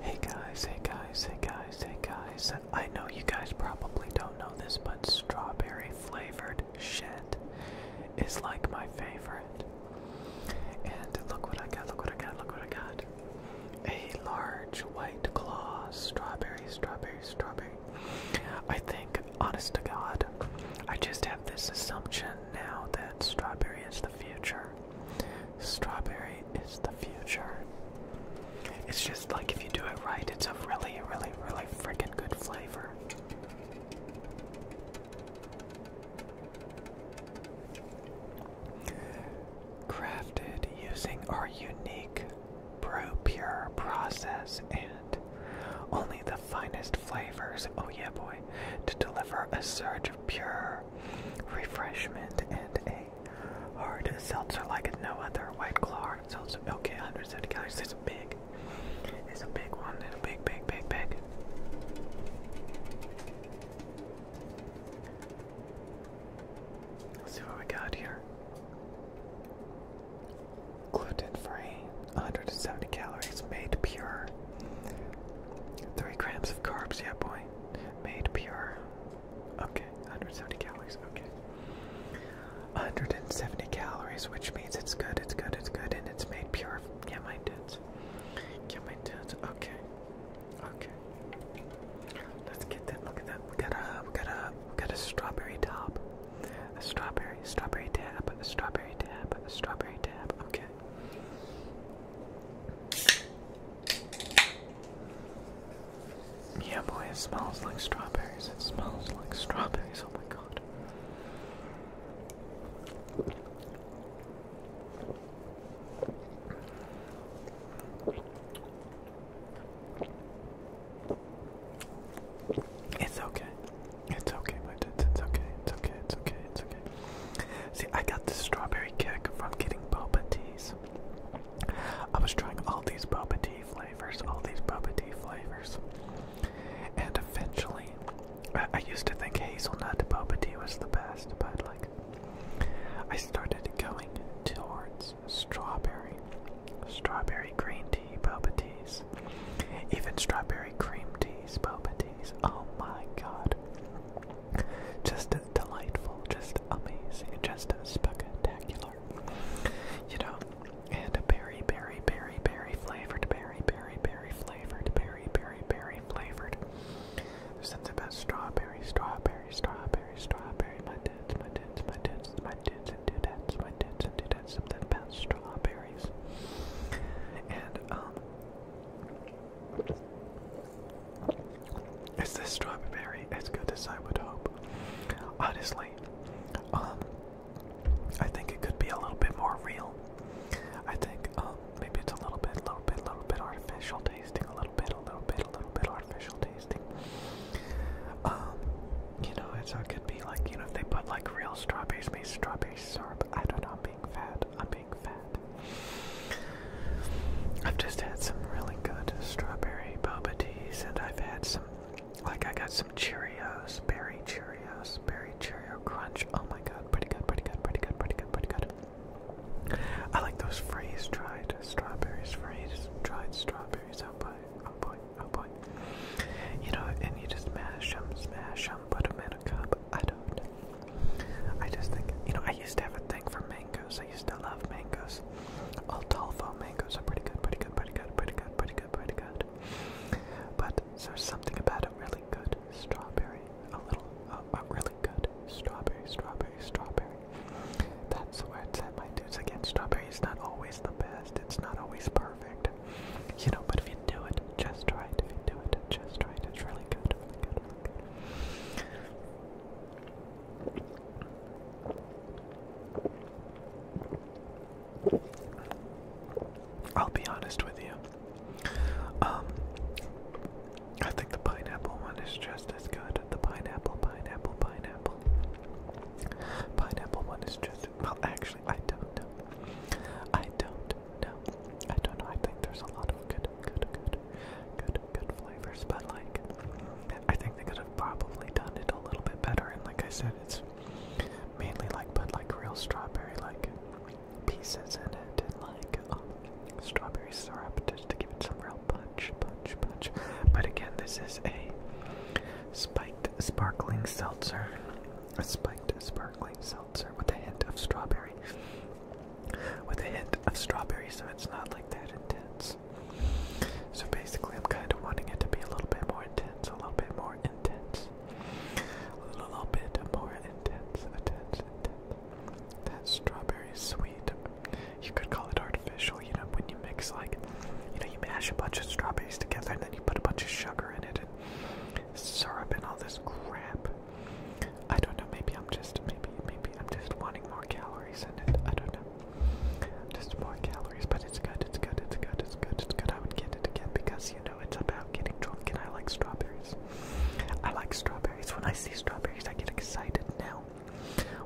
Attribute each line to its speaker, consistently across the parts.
Speaker 1: Hey guys, hey guys, hey guys, hey guys. I know you guys probably don't know this, but strawberry flavored shit is like my favorite. And look what I got, look what I got, look what I got. A large white claw strawberry, strawberry, strawberry. I think, honest to God, I just have this assumption now that strawberry is the future. Strawberry is the future. It's just like if you do it right, it's a really, really, really freaking good flavor. Crafted using our unique brew pure process and only the finest flavors, oh yeah boy, to deliver a surge of pure refreshment and a hard seltzer like no other white claw hard seltzer. Okay, 170 calories, it's big. It's a big one, it's a big, big, big, big. Let's see what we got here. Gluten free, 170 calories, made pure Three grams of carbs, yeah, boy. Made pure. Okay, 170 calories, okay. 170 calories, which means it's good, it's good, it's good, and it's made pure. Yeah, my dudes. Yeah, my dudes. Okay. Okay. Let's get that. Look at that. We got a, we got a, we got a strawberry top. A strawberry, strawberry tab, a strawberry tab, a strawberry tab. Okay. Yeah, boy, it smells like strawberries. It smells like strawberries. Oh my god. It's okay. It's okay, my dudes. It's okay. It's okay. It's okay. It's okay. See, I got this strawberry kick from getting boba teas. I was trying all these boba tea flavors, all these boba tea flavors, and eventually, I, used to think hazelnut boba tea was the best, but like, I started going towards strawberry, strawberry green tea boba teas even strawberry cream teas, boba teas. Oh my god. Just delightful, just amazing, just spectacular. You know, and berry, berry, berry, berry flavored, berry, berry, berry flavored, berry, berry, berry flavored. There's something about strawberry, strawberry, strawberry, strawberry. My dudes, my dudes, my dudes, my dudes, and dudettes, my dudes and dudettes, something about strawberries. And, um, is this strawberry as good as I would hope? Honestly, um, I think it could be a little bit more real. I think, um, maybe it's a little bit, little bit, little bit artificial tasting, a little bit, a little bit, a little bit artificial tasting. Um, you know, it uh, could be like, you know, they put like real strawberries, strawberry syrup. I don't being fat. I'm being fat. I've just had some really good strawberry boba teas, and I've had some, like, I got some Cheerios, berry Cheerios, berry Cheerio Crunch. Oh my god, pretty good, pretty good, pretty good, pretty good, pretty good. I like those freeze dried strawberries, freeze dried strawberries. I'll oh boy, oh boy. You know, and you just mash them, smash them, put them in a cup. I don't. I just think, you know, I used to have a thing for mangoes. I used to love mangoes. All Altolfo mangoes are pretty good, pretty good, pretty good, pretty good, pretty good, pretty good. But there's something about a really good strawberry, a little, a really good strawberry, strawberry strawberry, strawberry. That's where it's at, my dudes. Again, strawberry is not always the best. It's not always perfect. You know, but if you do it just right, if you do it just right, it's really good. I'll be honest with you. Um, I think the pineapple one is just as good. The pineapple, pineapple, pineapple. Pineapple one is just well actually I don't know. I don't know. I don't know. I think there's a lot of good good good good good flavors, but like I think they could have probably done it a little bit better and like I said it's mainly like put like real strawberry like pieces in it and like um, strawberry syrup just to give it some real punch, punch, punch. But again, this is a spiked sparkling seltzer. A spiked sparkling seltzer with a hint of strawberry. With a hint of strawberry, so it's not like that intense. So basically, I'm kind of wanting it to be a little bit more intense, a little bit more intense, a little bit more intense, intense, intense that strawberry sweet. You could call it artificial, you know, when you mix like, you know, you mash a bunch of strawberries together and then you put a bunch of sugar in it and syrup and all this crap. I don't know. Maybe I'm just maybe maybe I'm just wanting more calories in it. I don't know. Just more calories, but it's good. It's good. It's good. It's good. It's good. I would get it again because you know it's about getting drunk, and I like strawberries. I like strawberries. When I see strawberries, I get excited now.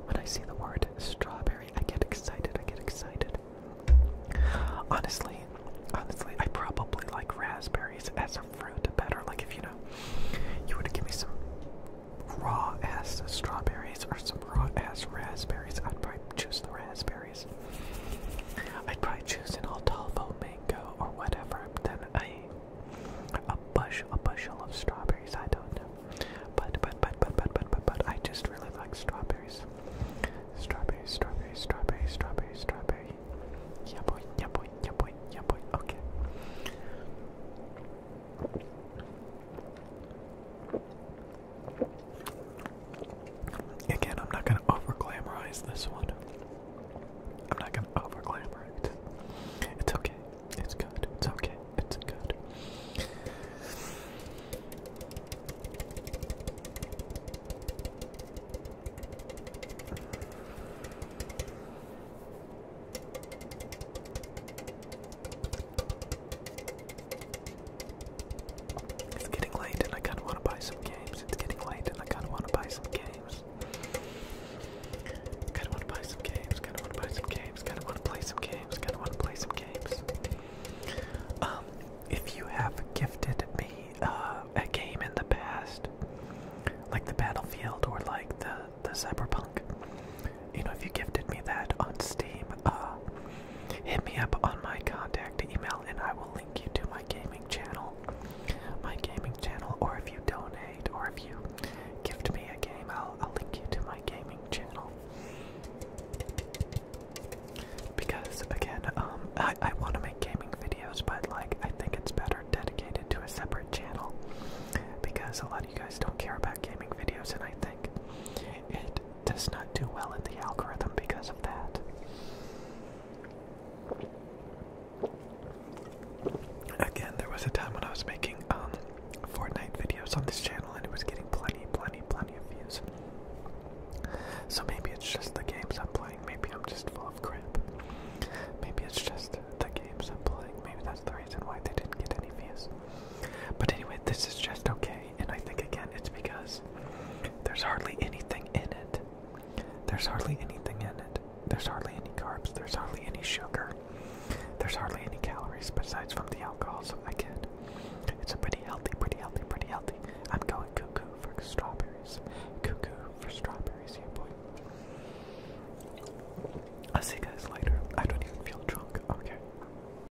Speaker 1: When I see the word strawberry, I get excited. I get excited. Honestly, honestly, I probably like raspberries as a fruit better. Like if you know, you were to give me some raw ass strawberries or some raw ass raspberries, I'd probably choose the raspberries. I'd probably choose an Altavo mango or whatever than a a bushel, a bushel of strawberries. I don't know, but but but but but but but but I just really like strawberries. Strawberry, strawberry, strawberry, strawberry, strawberry. Yeah boy, yeah boy, yeah boy, yeah boy. Okay. Again, I'm not gonna over glamorize this one. I'm not gonna over it. It's okay. It's good. It's okay. It's good. It's getting late and I kind of want to buy some it's getting late and I kind of want to buy some games. Kind of want to buy some games. Kind of want to buy some games. Kind of want to play some games. Kind of want to play some games. Um, if you have gifted me uh, a game in the past, like the Battlefield or like the the Cyberpunk, you know, if you gifted me that on Steam, uh, hit me up on my contact email and I will link you to my gaming channel. My gaming channel, or if you donate, or if you gift me a game, I'll, I'll link you to my gaming channel. Because again, um, I, I want to make gaming videos, but like I think it's better dedicated to a separate channel because a lot of you guys don't care about gaming videos, and I think it does not do well in the algorithm because of that. Again, there was a time when I was making um, Fortnite videos on this channel and it was getting plenty, plenty, plenty of views. So maybe it's just the games I'm playing. Maybe I'm just full of crap. Maybe it's just the games I'm playing. Maybe that's the reason why they didn't get any views. But anyway, this is just okay. And I think again it's because there's hardly anything in it. There's hardly anything in it. There's hardly any carbs. There's hardly any sugar. There's hardly any calories besides from the alcohol, so I get it's a pretty healthy, pretty healthy, pretty healthy. I'm going cuckoo for strawberries. Cuckoo for strawberries, yeah boy. I'll see you guys later. I don't even feel drunk. Okay.